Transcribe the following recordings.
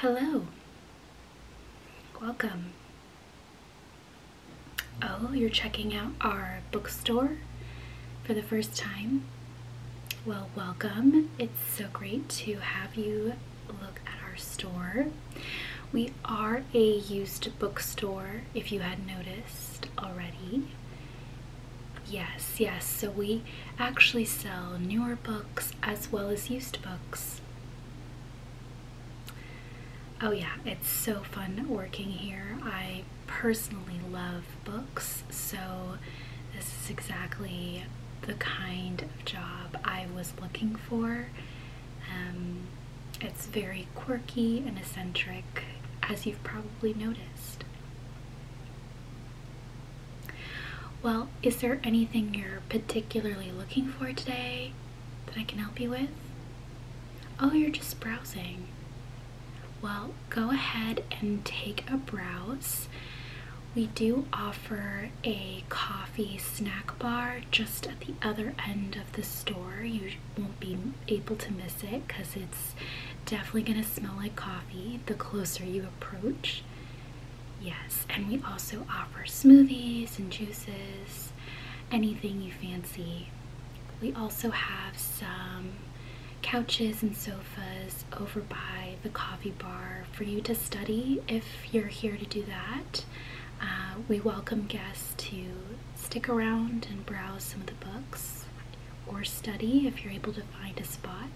Hello, welcome. Oh, you're checking out our bookstore for the first time? Well, welcome. It's so great to have you look at our store. We are a used bookstore, if you had noticed already. Yes, yes, so we actually sell newer books as well as used books. Oh yeah, it's so fun working here. I personally love books, so this is exactly the kind of job I was looking for. Um, it's very quirky and eccentric, as you've probably noticed. Well, is there anything you're particularly looking for today that I can help you with? Oh, you're just browsing. Well, go ahead and take a browse. We do offer a coffee snack bar just at the other end of the store. You won't be able to miss it because it's definitely going to smell like coffee the closer you approach. Yes, and we also offer smoothies and juices, anything you fancy. We also have some couches and sofas over by the coffee bar for you to study if you're here to do that. Uh, we welcome guests to stick around and browse some of the books or study if you're able to find a spot.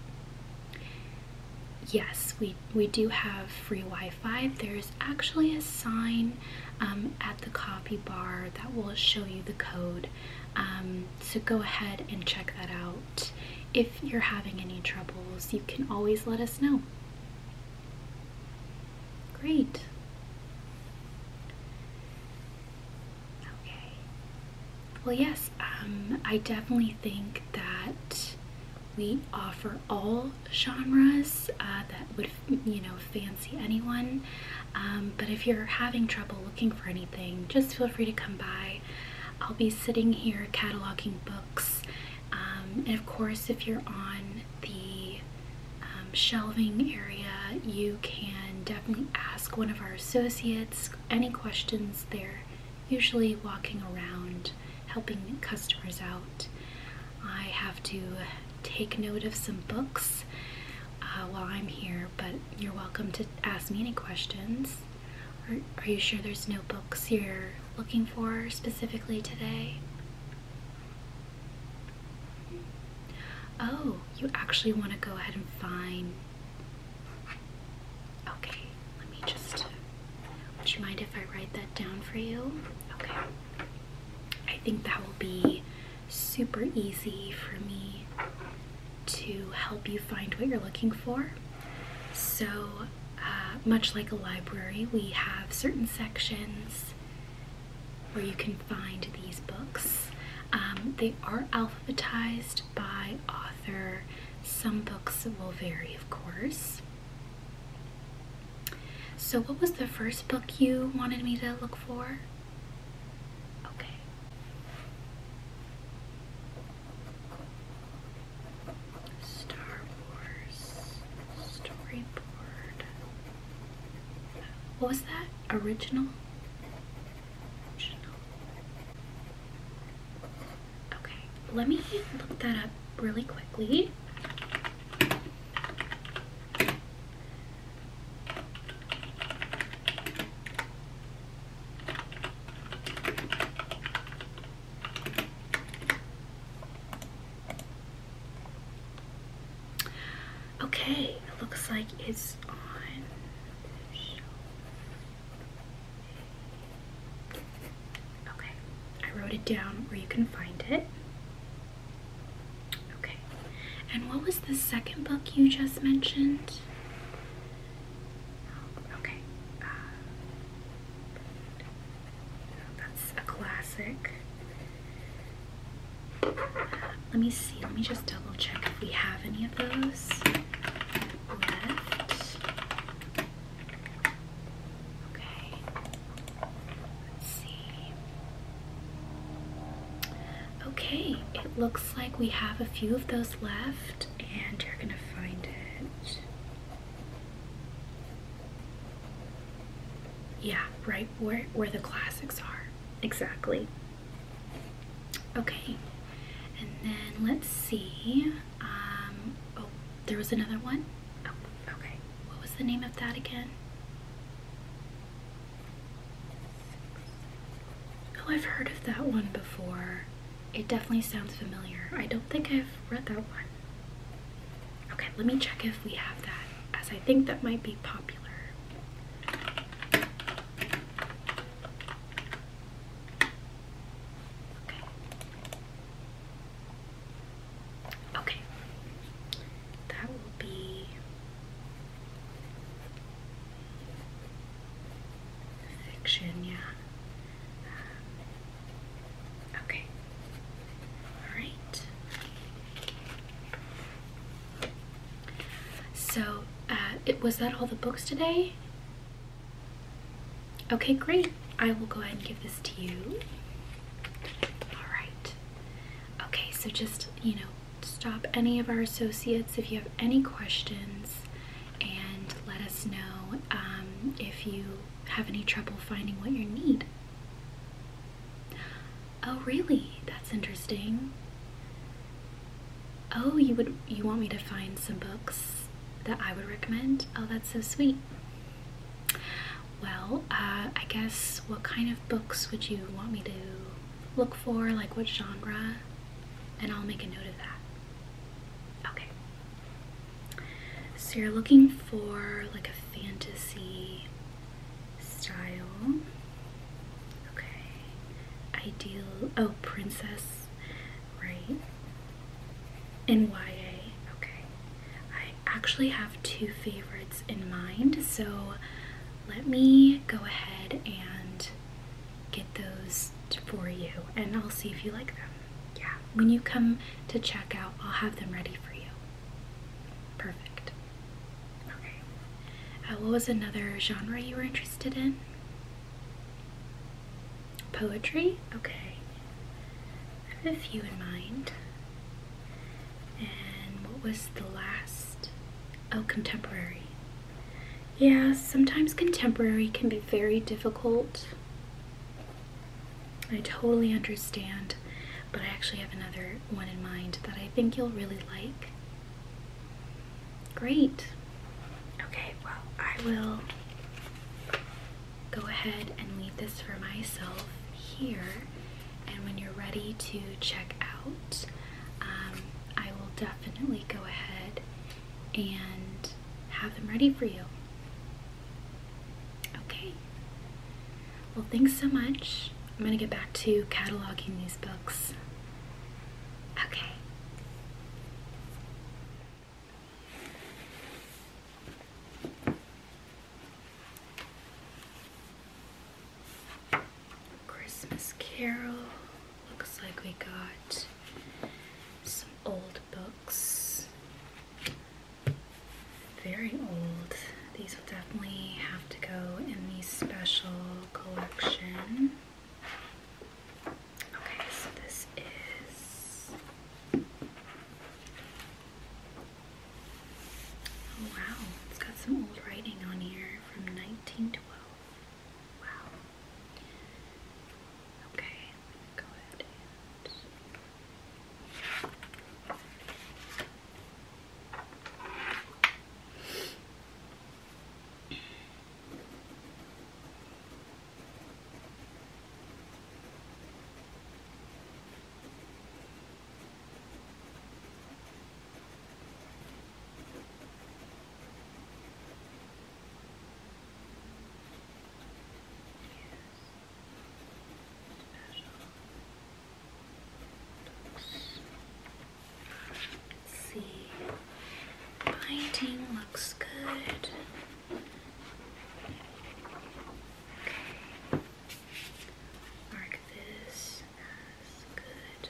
Yes, we, we do have free Wi-Fi. There's actually a sign um, at the coffee bar that will show you the code. Um, so go ahead and check that out. If you're having any troubles, you can always let us know. Great. Okay. Well, yes, um, I definitely think that we offer all genres uh, that would you know, fancy anyone. Um, but if you're having trouble looking for anything, just feel free to come by. I'll be sitting here cataloging books. Um, and of course, if you're on the um, shelving area, you can definitely ask one of our associates any questions. They're usually walking around helping customers out. I have to take note of some books uh, while I'm here, but you're welcome to ask me any questions. Are, are you sure there's no books you're looking for specifically today? Oh, you actually want to go ahead and find. Okay, let me just. Would you mind if I write that down for you? Okay. I think that will be super easy for me to help you find what you're looking for. So, uh, much like a library, we have certain sections where you can find these books. Um, they are alphabetized by author. Some books will vary, of course. So, what was the first book you wanted me to look for? Okay. Star storyboard. What was that? Original? Original. Okay, let me look that up really quickly. Okay, it looks like it's on. Okay, I wrote it down where you can find it. Okay. And what was the second book you just mentioned? Okay. Uh, that's a classic. Let me see. Let me just double check if we have any of those left. Okay. Let's see. Okay, it looks like we have a few of those left, and you're gonna find it. Yeah, right where, where the classics are. Exactly. Okay, and then let's see. Um, oh, there was another one. Oh, okay. What was the name of that again? Oh, I've heard of that one before. It definitely sounds familiar. I don't think I've read that one. Okay, let me check if we have that, as I think that might be popular. Okay. Okay. That will be Fiction, yeah. Um, okay. Alright. So, uh, it, was that all the books today? Okay, great. I will go ahead and give this to you. Alright. Okay, so just, you know, stop any of our associates if you have any questions and let us know um, if you have any trouble finding what you need. Oh really? That's interesting. Oh, you would you want me to find some books that I would recommend? Oh, that's so sweet. Well, uh, I guess what kind of books would you want me to look for, like what genre, and I'll make a note of that. Okay. So you're looking for like a fantasy style. Okay. Ideal. Oh, princess. Right. In YA. Okay. I actually have two favorites in mind. So let me go ahead and get those for you and I'll see if you like them. Yeah, when you come to check out, I'll have them ready for you. Perfect. Okay. Uh, what was another genre you were interested in? Poetry? Okay. I have a few in mind. And what was the last? Oh, contemporary. Yeah, sometimes contemporary can be very difficult. I totally understand, but I actually have another one in mind that I think you'll really like. Great. Okay, well, I will go ahead and leave this for myself here. And when you're ready to check out, um, I will definitely go ahead and have them ready for you. Okay. Well, thanks so much. I'm going to get back to cataloging these books. Okay. Christmas Carol. Looks like we got some old books. Very old. These will definitely have to go in the special collection. Okay, so this is. Oh, wow, it's got some old writing on here from 1912. Wow. Okay, I'm gonna go ahead and Okay see. Painting looks good. Okay. Mark this as good.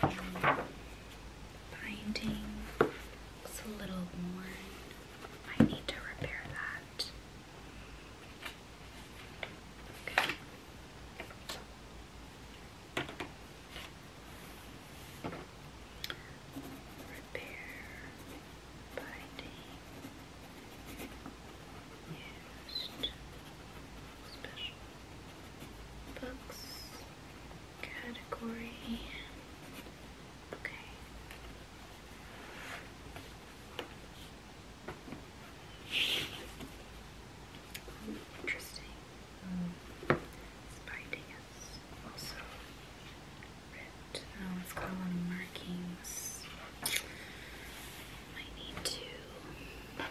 binding looks a little worn. I need to repair that. Repair binding used books category. Okay. interesting. Mm. It's also ripped. Oh, it's got a markings. Might need to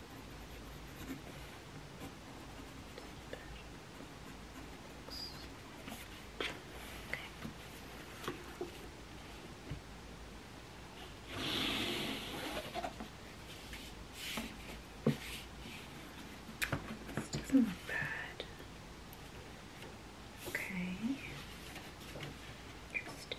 This doesn't look bad. Okay. Interesting.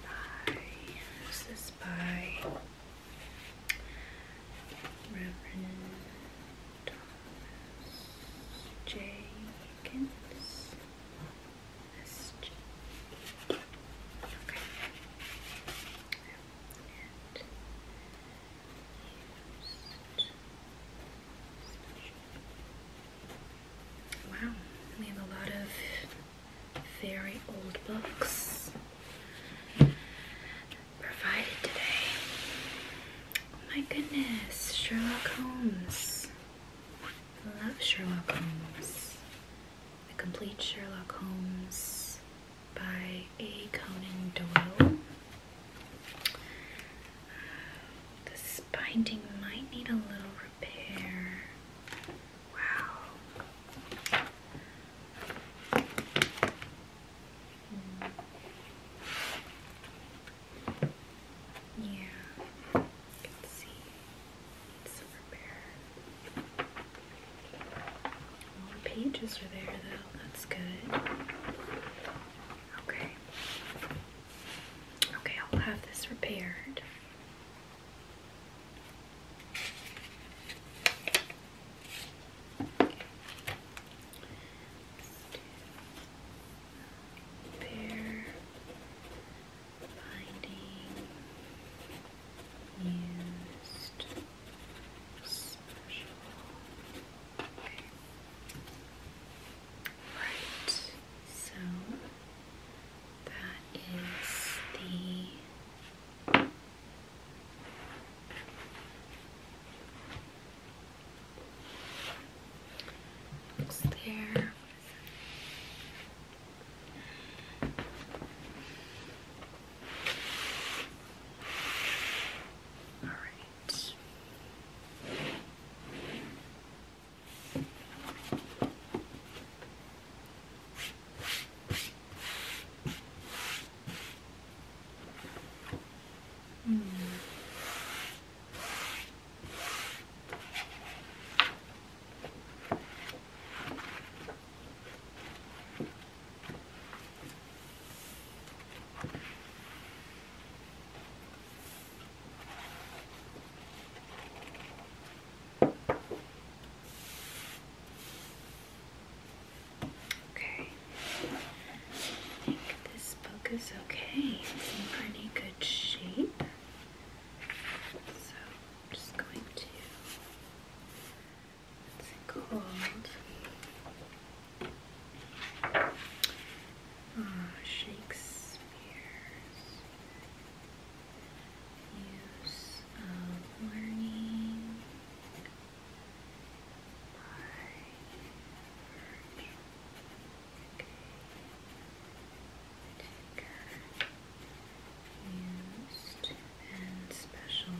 By, this by Reverend Thomas J. Higgins. Wow, we have a lot of very old books provided today. Oh my goodness, Sherlock Holmes. I love Sherlock Holmes. The complete Sherlock Holmes by A. Conan Doyle. Uh, this binding might need a little repair. Wow. Hmm. Yeah, you can see it's a the pages are there though, that's good. Okay. Okay, I'll have this repaired. Okay. binding used special. Right. So that is the looks there. All right. Mm. Okay. I think this book is okay. It's in pretty good shape. So I'm just going to it's called oh, Shakespeare's Use of Learning by Okay. Used and special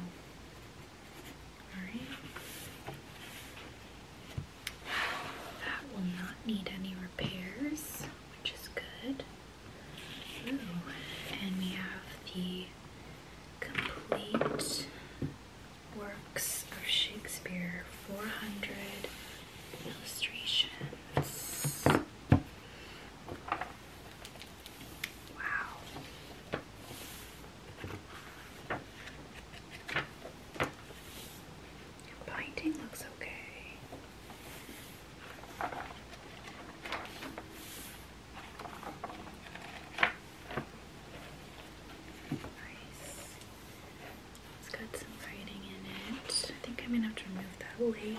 that will not need any repairs, which is good. And we have the complete works of Shakespeare 400 illustrations. Wow. Binding looks okay. It's got some writing in it. I think I'm gonna have to remove that weight.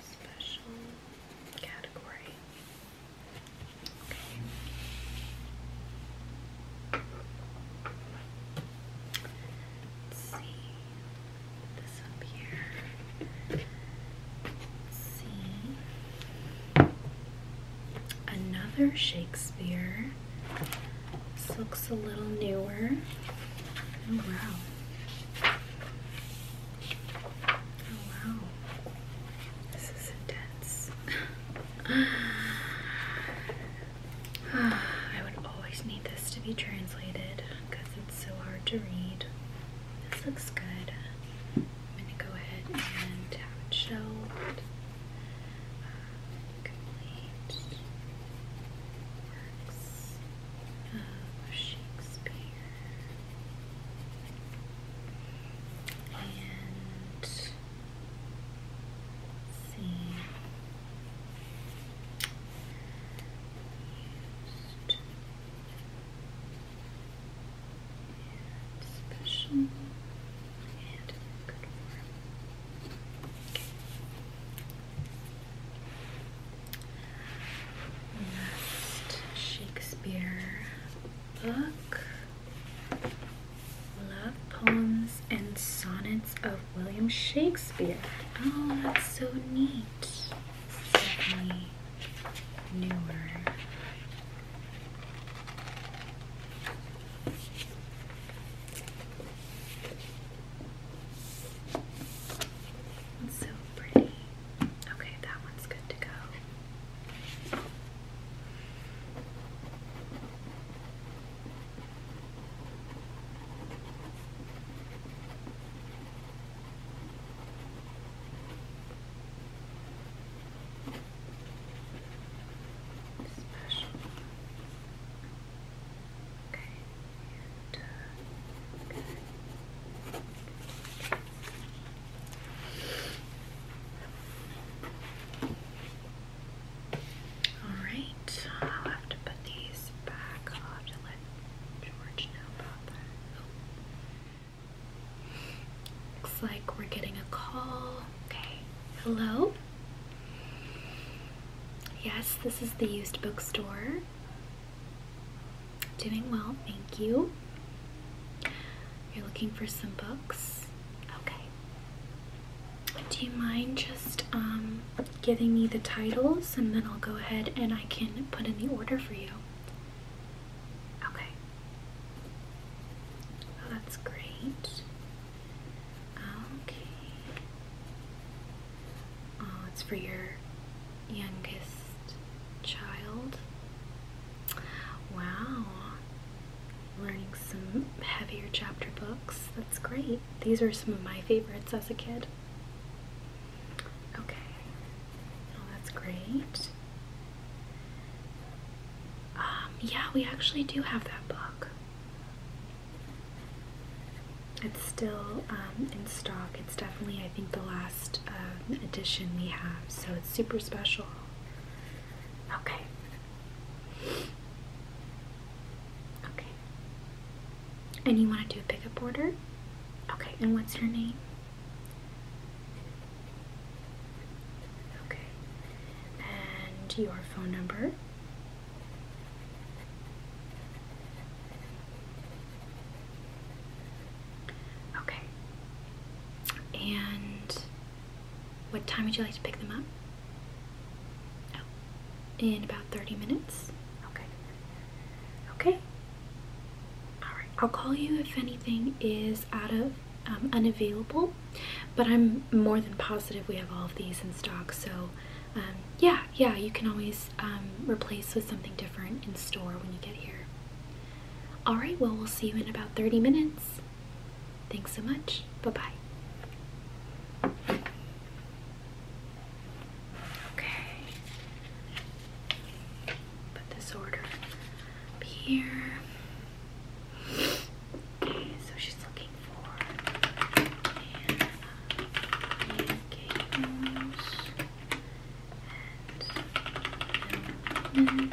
special category. Okay. see this up here. see another Shakespeare. This looks a little newer. Oh, wow wow. This is intense. I would always need this to be translated because it's so hard to read. This looks good. I'm gonna go ahead and have uh, it Shakespeare and see used and special good form. Shakespeare book. Love Poems and Sonnets of William Shakespeare. Oh, that's so neat. Certainly newer. It's so pretty. Okay, that one's good to go. Special. Okay. All right, I'll have to put these back. let George know about that. Looks like we're getting a call. Okay, hello? Yes, this is the used bookstore doing well, thank you. You're looking for some books? Okay. Do you mind just um, giving me the titles and then I'll go ahead and I can put in the order for you? Okay. Oh, that's great. Okay. Uh, it's for your youngest child. Wow. Learning some heavier chapter books. That's great. These are some of my favorites as a kid. Okay. Oh, that's great. Um, yeah, we actually do have that book. It's still um, in stock. It's definitely, I think, the last um, edition we have, so it's super special. Okay. Okay. And you want to do a pickup order? Okay, and what's your name? Okay. And your phone number? Okay. And what time would you like to pick them up? Oh. in about 30 minutes? Okay. Okay. Alright, I'll call you if anything is out of, um, unavailable, but I'm more than positive we have all of these in stock, so um, yeah, yeah, you can always is um, replaced with something different in store when you get here. All right, well, we'll see you in about 30 minutes. Thanks so much. Bye bye. Okay. Put this order here. Okay, so she's looking for uh, and open.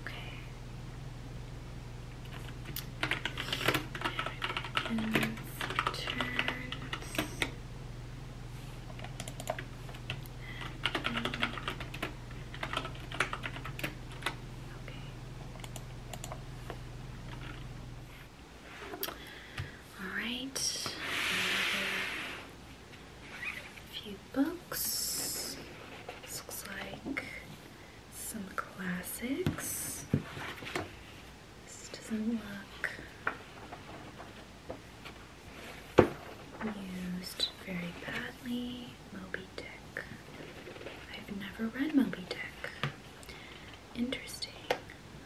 Okay. And turns. And Okay. All right. A few books. looks like some classics. This doesn't look used very badly. Moby Dick. I've never read Moby Dick. Interesting.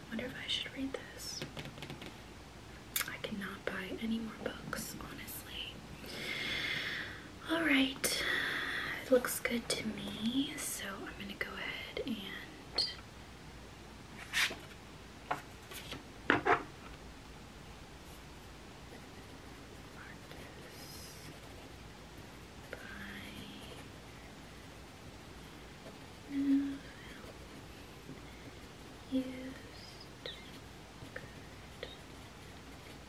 Wonder if I should read this. I cannot buy any more books, honestly. Alright. It looks good to me, so I'm gonna go ahead and mark this by used good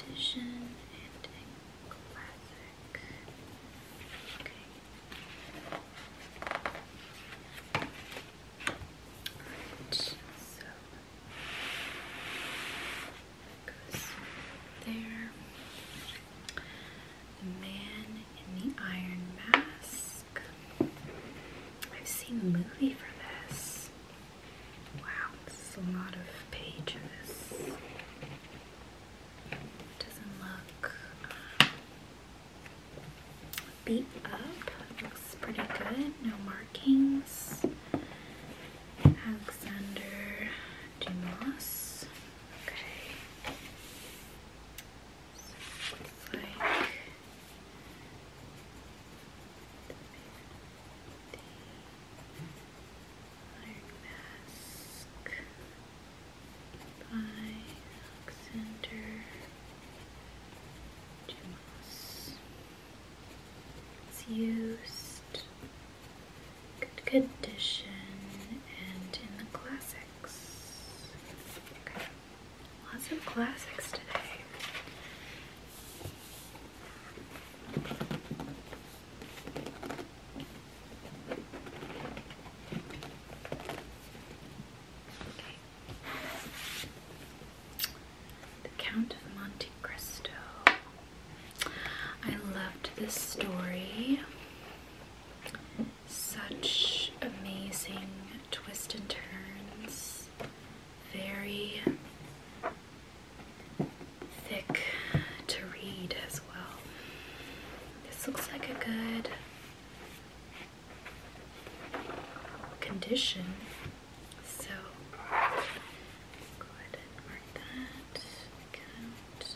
edition and classic. Okay. so goes there. The Man in the Iron Mask. I've seen a movie for this. Wow, this is a lot of pages. doesn't look uh, beat up. looks pretty good. No markings. Alexander Dumas. Okay. It's the Mask by Alexander Dumas. It's used good condition and in the classics. Lots of classics today. The Count of Monte Cristo. I loved this story. Such amazing twists and turns. Very thick to read as well. This looks like a good condition. So go ahead and mark that. Count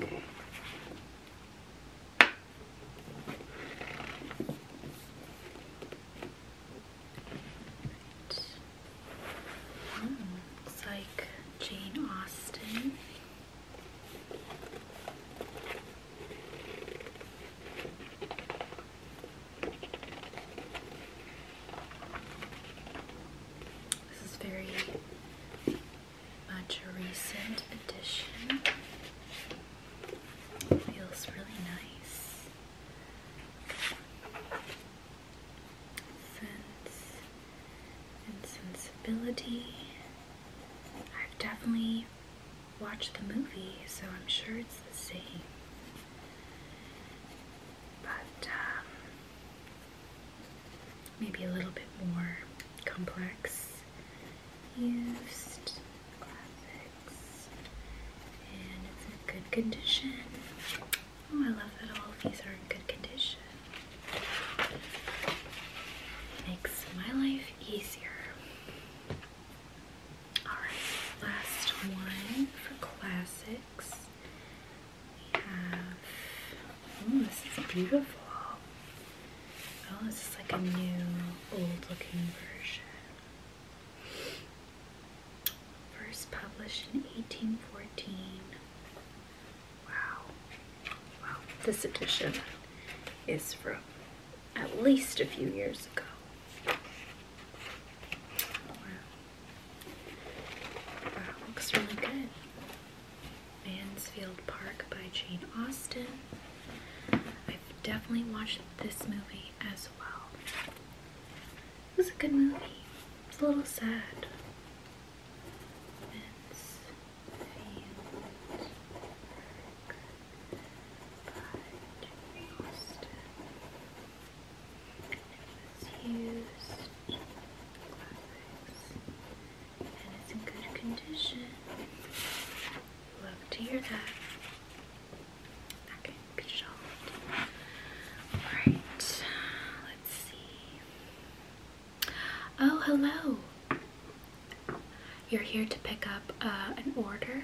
looks like Jane Austen. This is very much a recent addition. Feels really nice. Sense and sensibility. I've definitely watched the movie, so I'm sure it's the same. But um, maybe a little bit more complex used graphics, and it's in good condition. Oh, I love that all of these are in good condition. Makes my life easier. Alright, last one for classics oh this is beautiful. Oh, this is like a new old looking version. First published in 1814. Wow. Wow. This edition is from at least a few years ago. Wow, looks really good. Mansfield Park by Jane Austen. I've definitely watched this movie as well. It was a good movie. It's a little sad and it's in good condition. Love to hear that. That can be solved. Alright, let's see. Oh, hello! You're here to pick up uh, an order?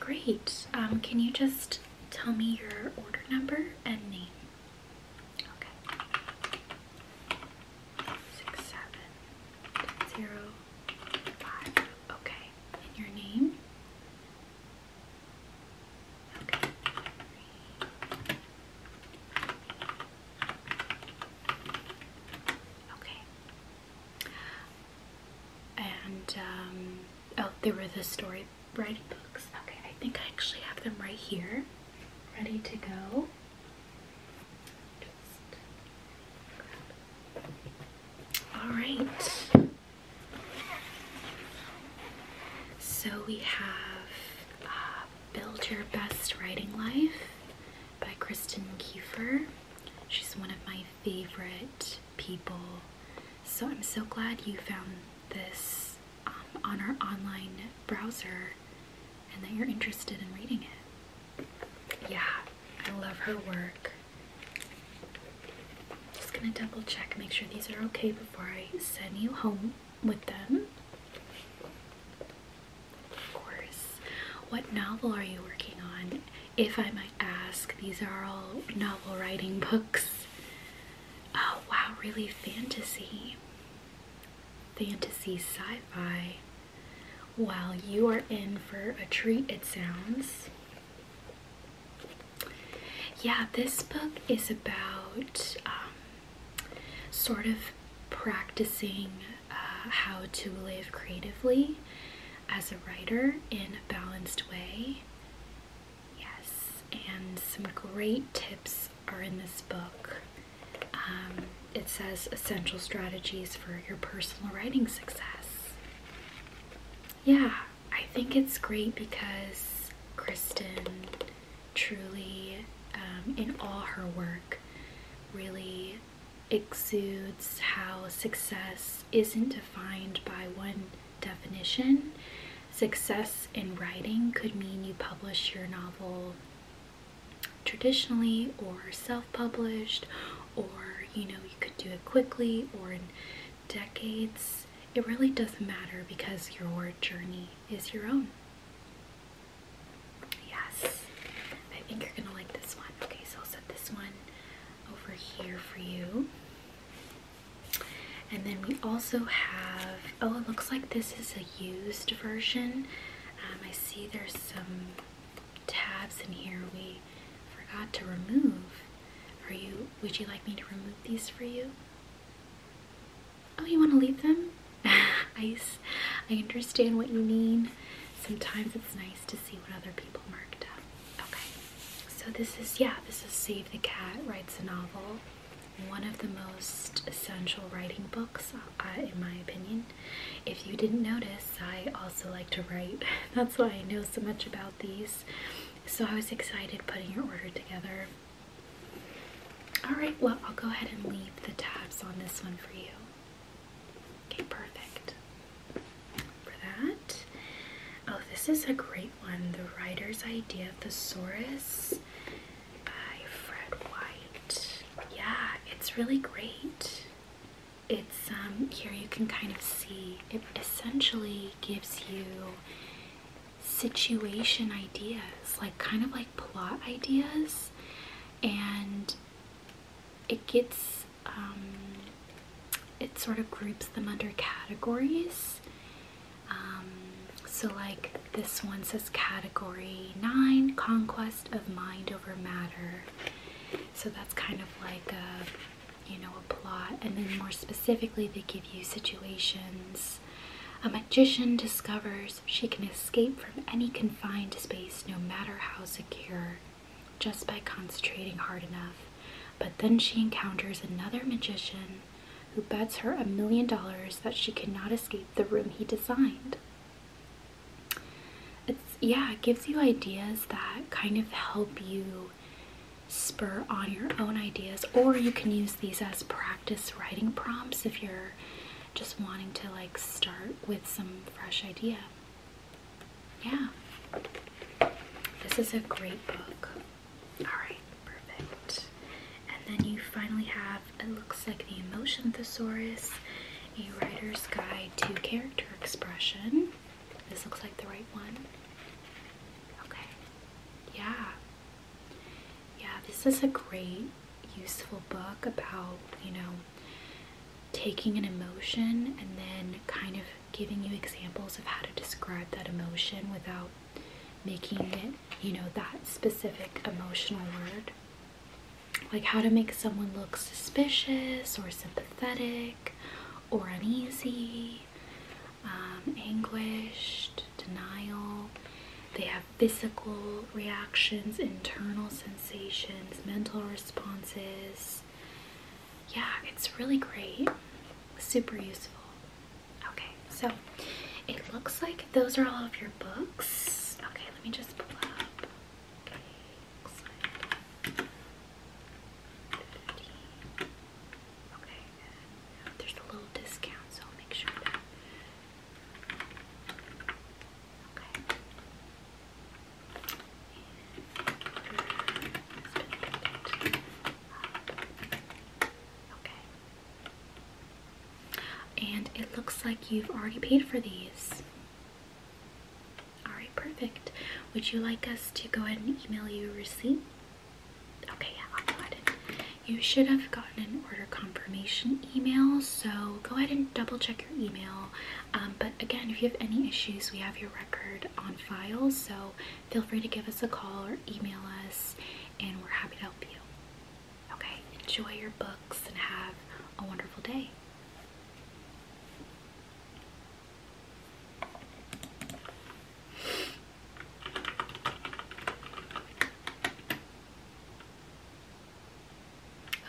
Great. Um, can you just tell me your order number and name? Okay. Six, seven, zero, five. Okay. And your name? Okay. Okay. And, um, oh, they were the story writing books. Okay, I think I actually have them right here, ready to go. All right. So we have uh, Build Your Best Writing Life by Kristen Kiefer. She's one of my favorite people. So I'm so glad you found this um, on our online browser and that you're interested in reading it. Yeah, I love her work. Just gonna double check, make sure these are okay before I send you home with them. Of course. What novel are you working on? If I might ask, these are all novel writing books. Oh wow, really fantasy fantasy sci fi. Well, you are in for a treat, it sounds. Yeah, this book is about um, sort of practicing uh, how to live creatively as a writer in a balanced way. Yes, and some great tips are in this book. Um, it says essential strategies for your personal writing success. Yeah, I think it's great because Kristen truly, um, in all her work, really exudes how success isn't defined by one definition. Success in writing could mean you publish your novel traditionally or self-published or you know you could do it quickly or in decades it really doesn't matter because your journey is your own yes i think you're gonna like this one okay so i'll set this one over here for you and then we also have oh it looks like this is a used version um, I see there's some tabs in here we forgot to remove. Are you? Would you like me to remove these for you? Oh, you want to leave them? I, I understand what you mean. Sometimes it's nice to see what other people marked up. Okay, so this is, yeah, this is Save the Cat Writes a Novel, one of the most essential writing books uh, in my opinion. If you didn't notice, I also like to write. That's why I know so much about these. So I was excited putting your order together. Alright, well, I'll go ahead and leave the tabs on this one for you. Okay, perfect. For that. Oh, this is a great one. The Writer's Idea of Thesaurus by Fred White. Yeah, it's really great. It's um here you can kind of see it essentially gives you situation ideas, like kind of like plot ideas, and it gets um it sort of groups them under categories. Um, so, like this one says category 9 Conquest of Mind matter. So that's kind of like a, you know, a plot. And then more specifically, they give you situations. A magician discovers she can escape from any confined space, no matter how secure, just by concentrating hard enough. But then she encounters another magician who bets her a million dollars that she cannot escape the room he designed it's yeah, it gives you ideas that kind of help you spur on your own ideas, or you can use these as practice writing prompts if you're just wanting to like start with some fresh idea. Yeah. This is a great book. Alright, perfect. And then you finally have it looks like the Emotion Thesaurus, a writer's guide to character expression. This looks like the right one. Okay. Yeah. Yeah, this is a great, useful book about, you know, taking an emotion and then kind of giving you examples of how to describe that emotion without making it, you know, that specific emotional word like how to make someone look suspicious or sympathetic or uneasy, um, anguished, denial. They have physical reactions, internal sensations, mental responses. Yeah, it's really great. Super useful. Okay, so it looks like those are all of your books. Okay, let me just pull up Excellent. Thirty. Okay, There's a little discount, so make sure Okay. And it looks like you've already paid for these. Alright, perfect. Would you like us to go ahead and email you a receipt? Okay, yeah, I'll go ahead and. You should have gotten an order confirmation email, so go ahead and double check your email. Um, but again, if you have any issues, we have your record on file, so feel free to give us a call or email us, and we're happy to help you. Okay, enjoy your books and have a wonderful day.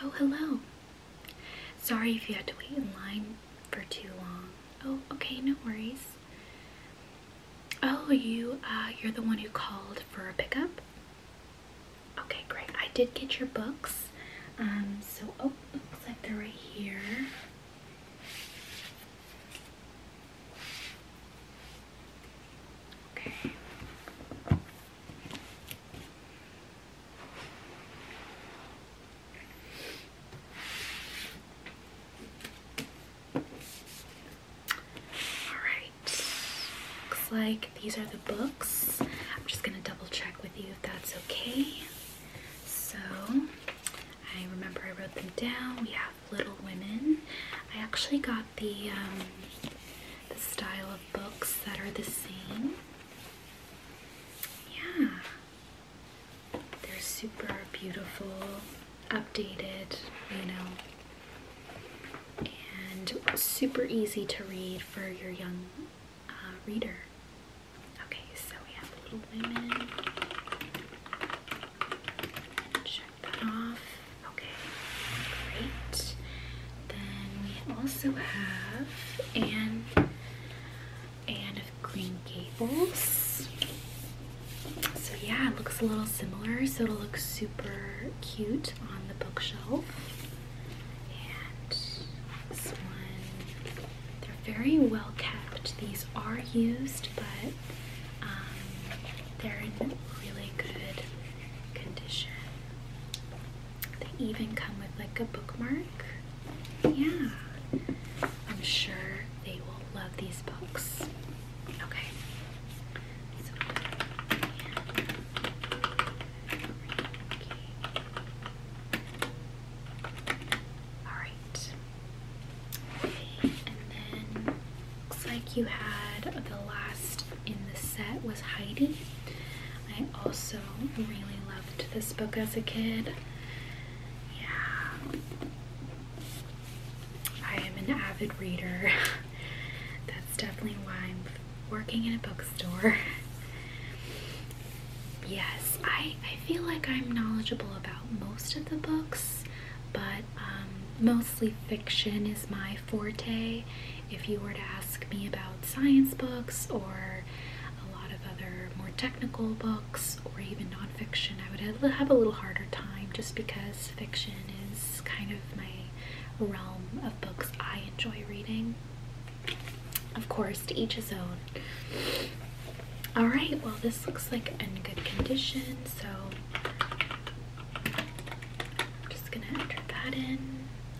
Oh, hello. Sorry if you had to wait in line for too long. Oh, okay, no worries. Oh, you, uh, you're the one who called for a pickup? Okay, great. I did get your books. Um, so, oh, looks like they're right here. Okay. All right. Looks like these are the books. I'm just gonna double check with you if that's okay. So, I remember I wrote them down. We have Little Women. I actually got the, um, the style of books that are the same. Yeah. They're super beautiful, updated, you know, and super easy to read for your young uh, reader. Okay, so we have Little Women. Check that off. Okay, great. Then we also have Anne, Anne of Green Gables. So yeah, it looks a little similar, so it'll look super cute on the bookshelf they're very well kept. These are used, but um, they're in really good condition. They even come with like a bookmark. Yeah, I'm sure they will love these books. Okay, Alright. And then looks like you had the last in the set was Heidi. I also really loved this book as a kid. Yeah. I am an avid reader. that's definitely why I'm working in a bookstore. yes, I, I feel like I'm knowledgeable about most of the books, but um, mostly fiction is my forte. If you were to ask me about science books or a lot of other more technical books or even nonfiction, I would have a little harder time just because fiction is kind of my realm of books I enjoy reading of course, to each his own. All right, well, this looks like in good condition, so I'm just gonna enter that in.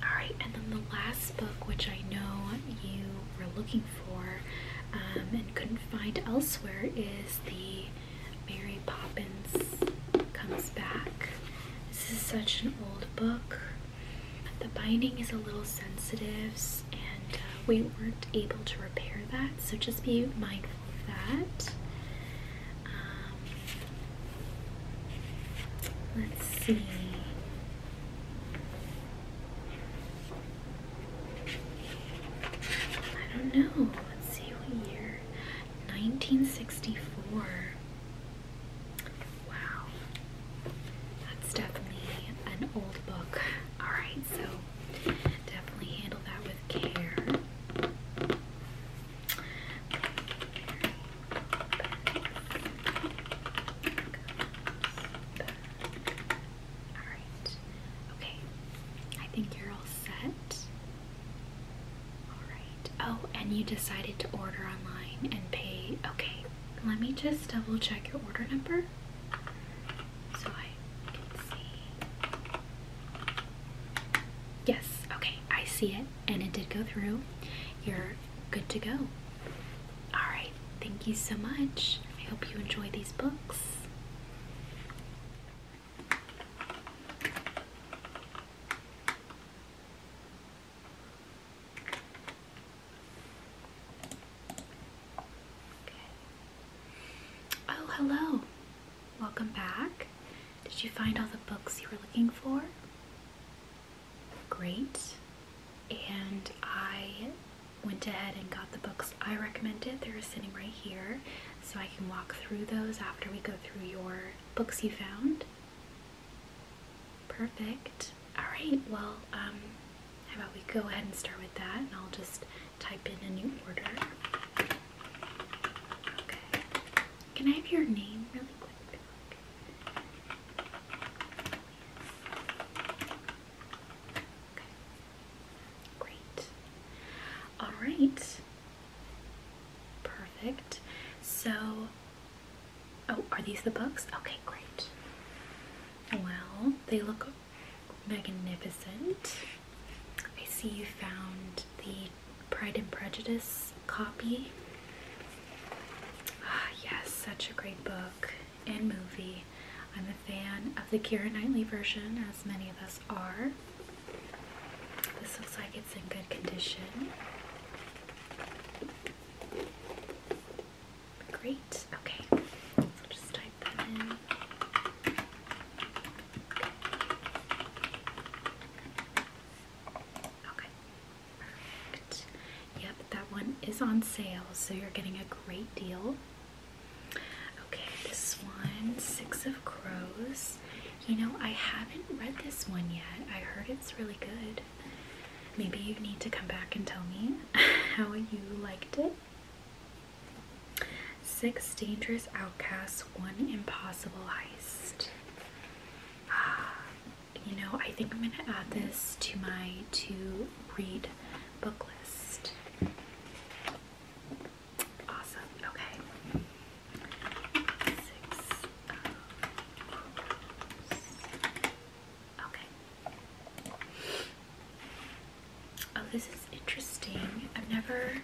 All right, and then the last book, which I know you were looking for um, and couldn't find elsewhere, is the Mary Poppins Comes Back. This is such an old book. The binding is a little sensitive and uh, we weren't able to repair that, so just be mindful of that. Um, let's see. I don't know. Let's see what year. 1964. Wow. That's definitely an old book. Alright, so definitely handle that with care. Alright. Okay. I think you're all set. Alright. Oh, and you decided to order online and pay. Okay. Let me just double check your order number so I can see. Yes, okay, I see it and it did go through. You're good to go. Alright, thank you so much. I hope you enjoy these books. Oh, hello. Welcome back. Did you find all the books you were looking for? Great. And I went ahead and got the books I recommended. They're sitting right here. So I can walk through those after we go through your books you found. Perfect. Alright, well, um, how about we go ahead and start with that and I'll just type in a new order. Okay. Can I have your name really quick? Okay. Great. Alright. Perfect. So Oh, are these the books? Okay, great. Well, they look magnificent. I see you found the Pride and Prejudice copy. Ah, yes, such a great book and movie. I'm a fan of the Kira Knightley version, as many of us are. This looks like it's in good condition. Great. Okay. just type that in. Okay. Perfect. Yep, that one is on sale, so you're getting a great deal. Okay, this one, Six of Crows. You know, I haven't read this one yet. I heard it's really good. Maybe you need to come back and tell me how you liked it. Six dangerous outcasts, one impossible heist. Ah, you know, I think I'm going to add this to my to read book list. Awesome. Okay. Uh, Okay. Oh, this is interesting. I've never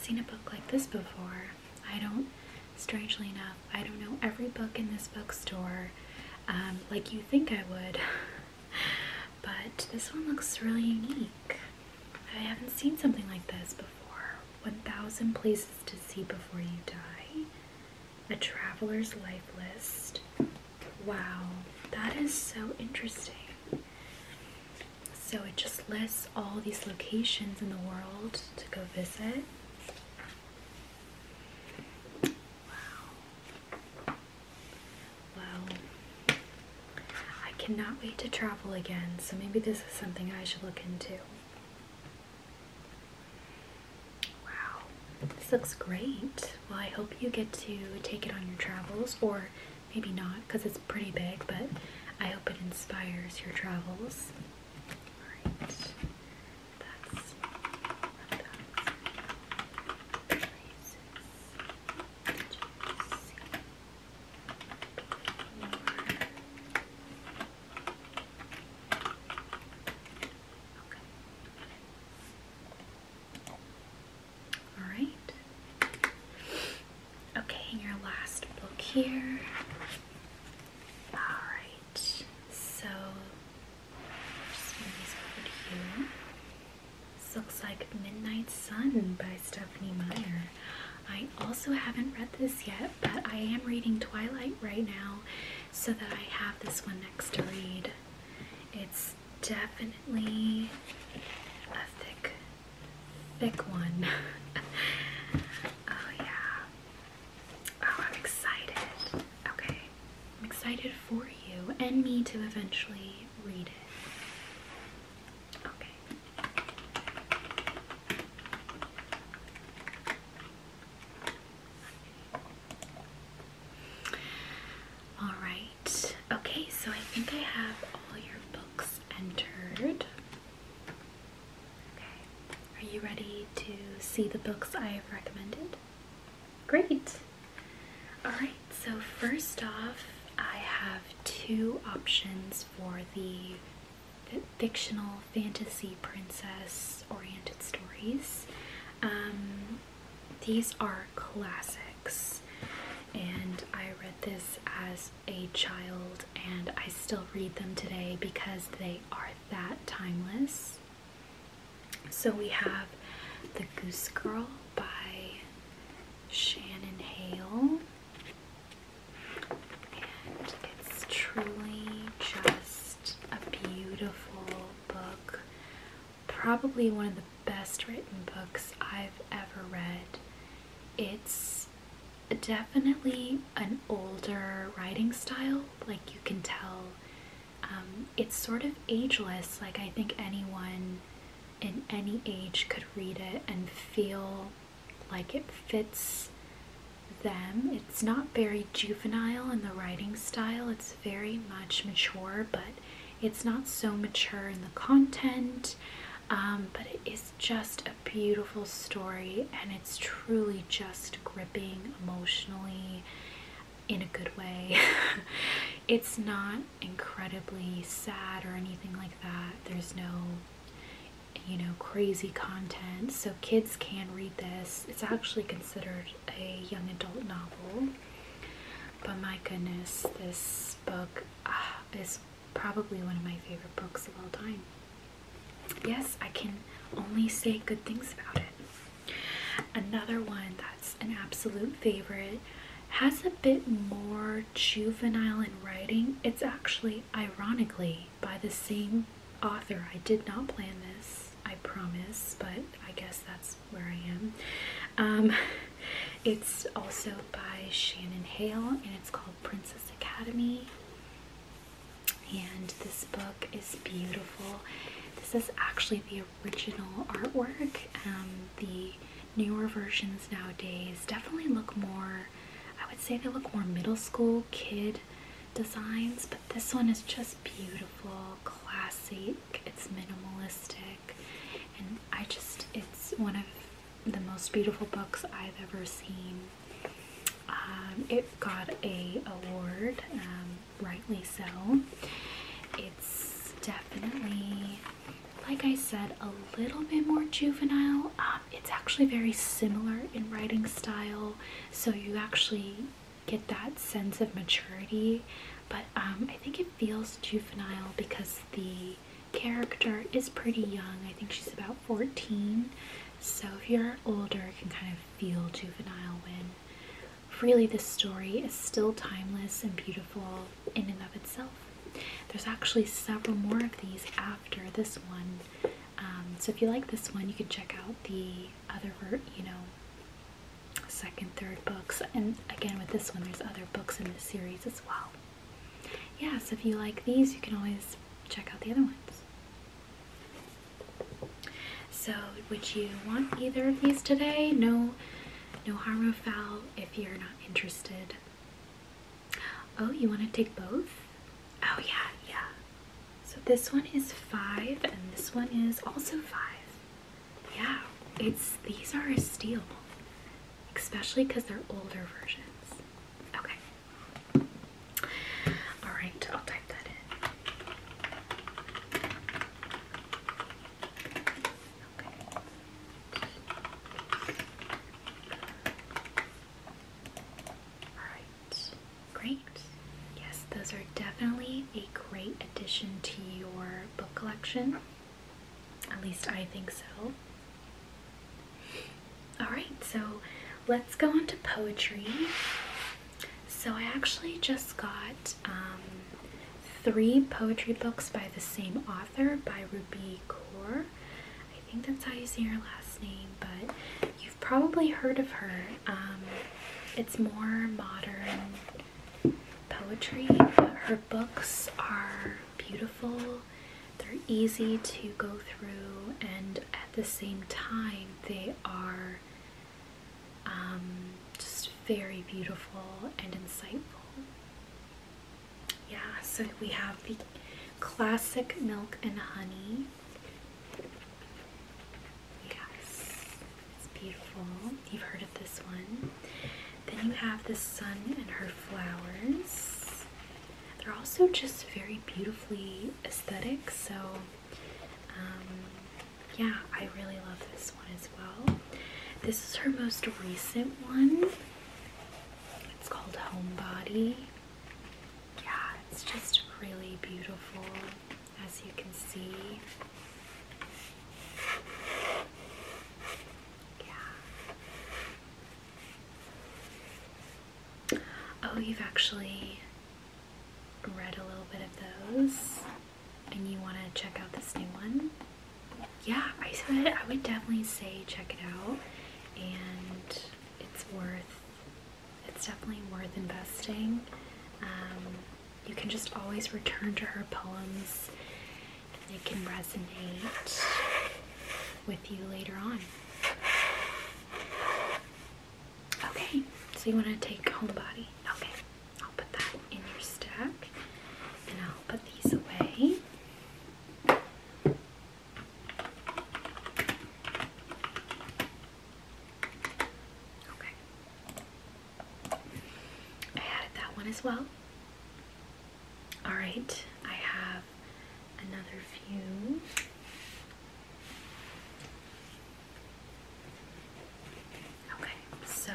seen a book like this before. I don't, strangely enough, I don't know every book in this bookstore um, like you think I would. but this one looks really unique. I haven't seen something like this before. 1,000 Places to See Before You Die. A traveler's life list. Wow, that is so interesting. So it just lists all these locations in the world to go visit. Wow. Wow. I cannot wait to travel again, so maybe this is something I should look into. Wow, this looks great. Well, I hope you get to take it on your travels, or maybe not because it's pretty big, but I hope it inspires your travels. Alright, Okay. All right. Okay, your last book here. All right. So This looks like Midnight Sun by Stephanie Meyer. I also haven't read this yet, but I am reading Twilight right now so that I have this one next to read. It's definitely a thick, thick one. oh yeah. Oh, I'm excited. Okay. I'm excited for you and me to eventually read it. All right. Okay, so I think I have all your books entered. Okay. Are you ready to see the books I have recommended? Great. All right. So first off, I have two options for the fictional fantasy princess oriented stories. Um, these are classics, and I read this as a child, and I still read them today because they are that timeless. So we have The Goose Girl by Shannon Hale, and it's truly just a beautiful book, probably one of the best written books I've ever read. It's definitely an older writing style, like you can tell. Um, it's sort of ageless, like I think anyone in any age could read it and feel like it fits them. It's not very juvenile in the writing style, it's very much mature, but it's not so mature in the content. Um, but it is just a beautiful story, and it's truly just gripping emotionally in a good way. it's not incredibly sad or anything like that. There's no you know crazy content so kids can read this it's actually considered a young adult novel. But my goodness, this book ah, is probably one of my favorite books of all time. Yes, I can only say good things about it. Another one that's an absolute favorite has a bit more juvenile in writing. It's actually, ironically, by the same author. I did not plan this. I promise, but I guess that's where I am. Um, it's also by Shannon Hale and it's called Princess Academy. And this book is beautiful. This is actually the original artwork. Um, the newer versions nowadays definitely look more, I would say they look more middle school kid designs, but this one is just beautiful, classy, it's minimalistic, and I just, it's one of the most beautiful books I've ever seen. Um, it got a award, um, rightly so. It's definitely, like I said, a little bit more juvenile. Um, it's actually very similar in writing style, so you actually get that sense of maturity, but um, I think it feels juvenile because the character is pretty young. I think she's about 14. So if you're older, it can kind of feel juvenile when really the story is still timeless and beautiful in and of itself. There's actually several more of these after this one. Um, so if you like this one, you can check out the other, you know, second, third books. And again, with this one, there's other books in the series as well. Yeah, so if you like these, you can always check out the other ones. So, would you want either of these today? No, no harm or foul if you're not interested. Oh, you want to take both? Oh yeah, yeah. So this one is five and this one is also five yeah, it's these are a steal, especially because they're older versions. Okay. All right, I'll type that in. Okay. All right. Great. Yes, those are definitely a great addition to your book collection. At least I think so. Alright, so let's go on to poetry. So I actually just got um, three poetry books by the same author, by Ruby Kaur. I think that's how you say her last name, but you've probably heard of her. Um, it's more modern poetry. Her books are beautiful, they're easy to go through, and at the same time, they are um, just very beautiful and insightful. Yeah, so we have the classic milk and honey. Yes. It's beautiful. You've heard of this one. Then you have the sun and her flowers. They're also just very beautifully aesthetic, so um, yeah, I really love this one as well. This is her most recent one. It's called Homebody. Yeah, it's just really beautiful as you can see. Yeah. Oh, you've actually read a little bit of those and you want to check out this new one? Yeah, I said I would definitely say check it out and it's worth it's definitely worth investing. Um, you can just always return to her poems and they can resonate with you later on. Okay, so you want to take whole body? Okay, I'll put that in your stack and I'll put these away. Okay. I added that one as well. Alright, I have another few. Okay, so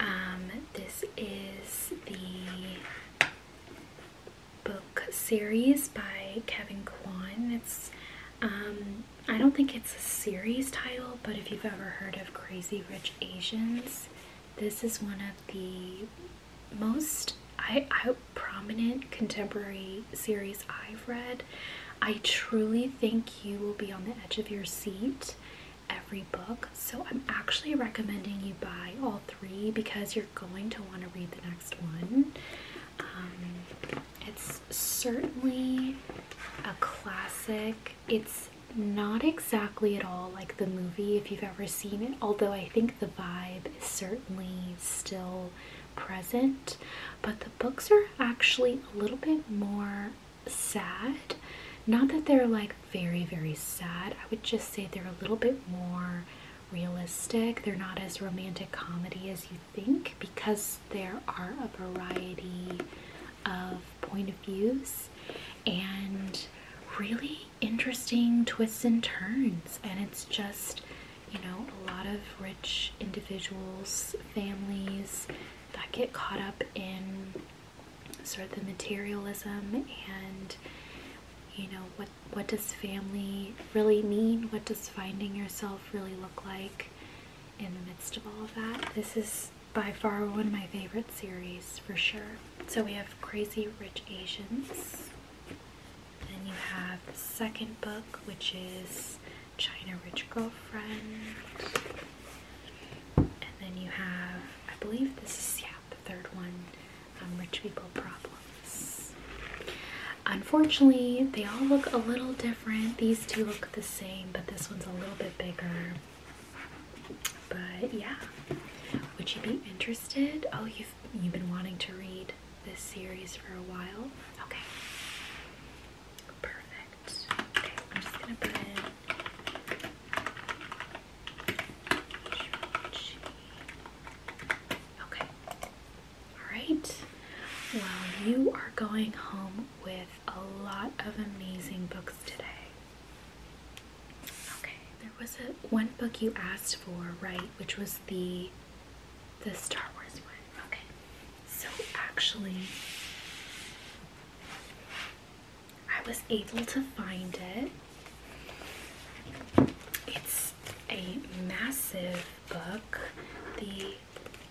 um, this is the book series by Kevin Kwan. It's um, I don't think it's a series title, but if you've ever heard of Crazy Rich Asians, this is one of the most I, prominent contemporary series I've read. I truly think you will be on the edge of your seat every book. So I'm actually recommending you buy all three because you're going to want to read the next one. Um, it's certainly a classic. It's not exactly at all like the movie if you've ever seen it, although I think the vibe is certainly still present. But the books are actually a little bit more sad. Not that they're like very, very sad, I would just say they're a little bit more realistic. They're not as romantic comedy as you think because there are a variety of point of views and really interesting twists and turns and it's just you know a lot of rich individuals families that get caught up in sort of the materialism and you know what what does family really mean what does finding yourself really look like in the midst of all of that. This is by far one of my favorite series for sure. So we have Crazy Rich Asians. Then you have the second book, which is China Rich Girlfriend. And then you have, I believe this is, yeah, the third one, um, Rich People Problems. Unfortunately, they all look a little different. These two look the same, but this one's a little bit bigger. But yeah, would you be interested? Oh, you've you've been wanting to read this series for a while. Okay, perfect. I'm just gonna put in. Okay, Alright, well, you are going home with a lot of amazing books today. Okay, there was a, one book you asked for, right, which was the, the Star Wars one. Okay, so actually, I was able to find it. It's a massive book, the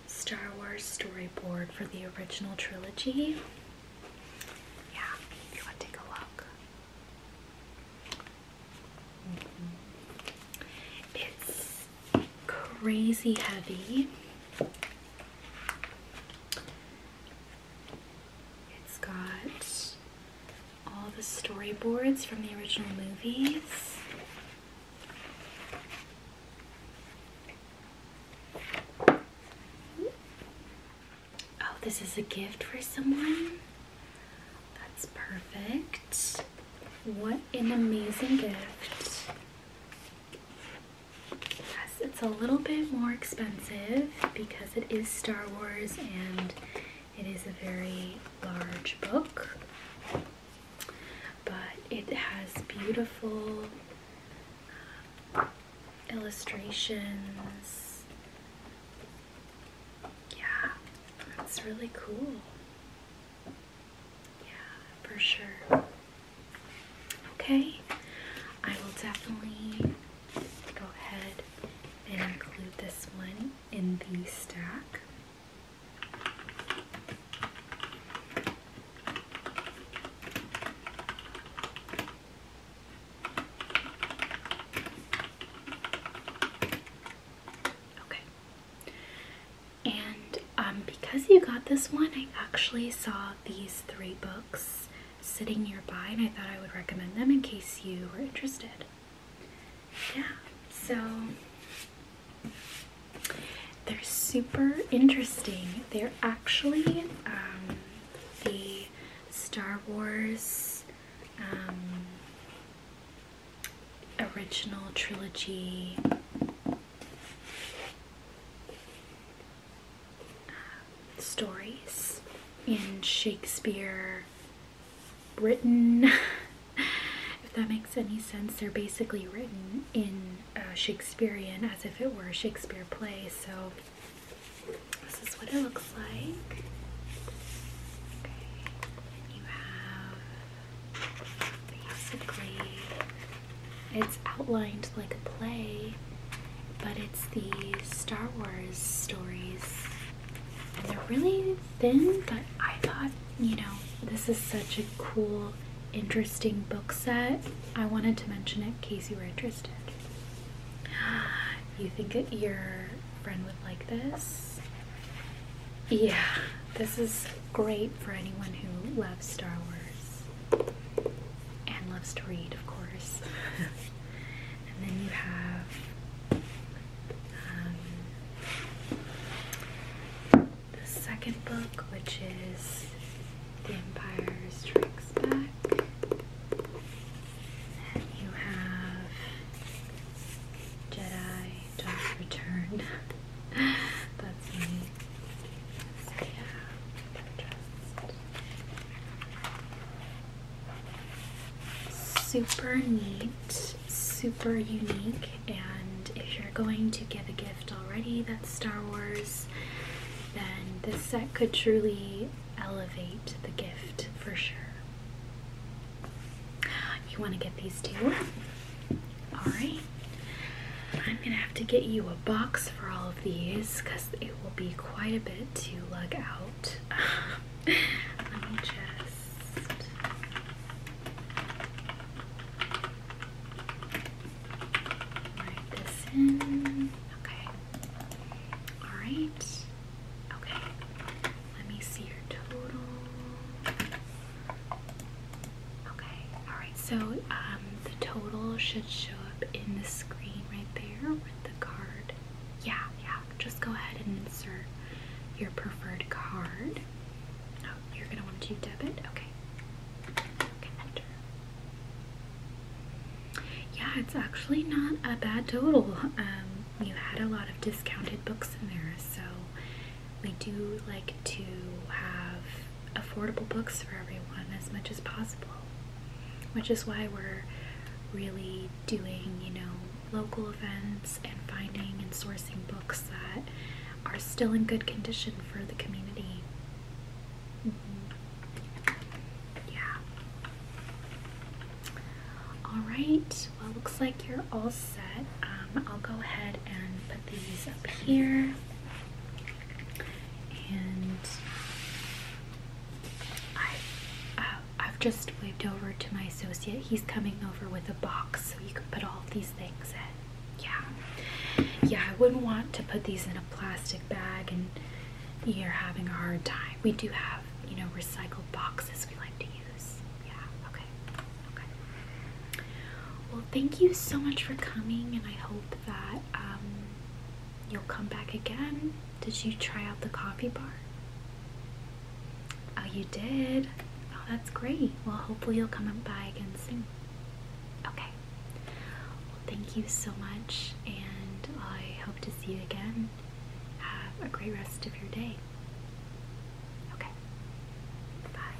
Star Wars storyboard for the original trilogy. Yeah, you want to take a look. Mm-hmm. It's crazy heavy. It's got all the storyboards from the original movies. Oh, this is a gift for someone? That's perfect. What an amazing gift. Yes, it's a little bit more expensive because it is Star Wars and it is a very large book but it has beautiful uh, illustrations. Yeah, that's really cool. Yeah, for sure. Okay, I will definitely go ahead and include this one in the stack. Okay. And um, because you got this one, I actually saw these three books sitting nearby, and I thought I would recommend them in case you were interested. Yeah, so they're super interesting. They're actually um, the Star Wars um, original trilogy. Uh, stories in Shakespeare, Britain, if that makes any sense. They're basically written in uh, Shakespearean as if it were a Shakespeare play. So this is what it looks like. basically it's outlined like a play, but it's the Star Wars stories. And they're really thin, but I thought you know, this is such a cool, interesting book set. I wanted to mention it in case you were interested. You think that your friend would like this? Yeah, this is great for anyone who loves Star Wars and loves to read, of course. and then you have um, the second book, which is The Empire Strikes Back. Then you have Jedi Dark Return. That's me. yeah, super neat, super unique, and if you're going to give a gift already that's Star Wars, then this set could truly elevate the gift for sure. You want to get these two? Alright. I'm going to have to get you a box for all of these because it will be quite a bit to lug out. Let me just. Okay. Alright. Okay. Let me see your total. Okay. Alright. So um, the total should show up in the screen right there with the card. Yeah. Yeah. Just go ahead and insert your preferred card. Oh, you're going to want to do debit? Okay. Yeah, it's actually not a bad total. Um, you had a lot of discounted books in there, so we do like to have affordable books for everyone as much as possible, which is why we're really doing, you know, local events and finding and sourcing books that are still in good condition for the community. Yeah. All right. Well, looks like you're all set. Um, I'll go ahead and put these up here, and I, have uh, just waved over to my associate. He's coming over with a box, so you can put all these things in yeah yeah i wouldn't want to put these in a plastic bag and you're having a hard time we do have you know recycled boxes we like to use yeah okay okay well thank you so much for coming and i hope that um, you'll come back again did you try out the coffee bar oh you did oh that's great well hopefully you'll come by again soon okay well, thank you so much, and I hope to see you again. Have a great rest of your day. Okay. Bye.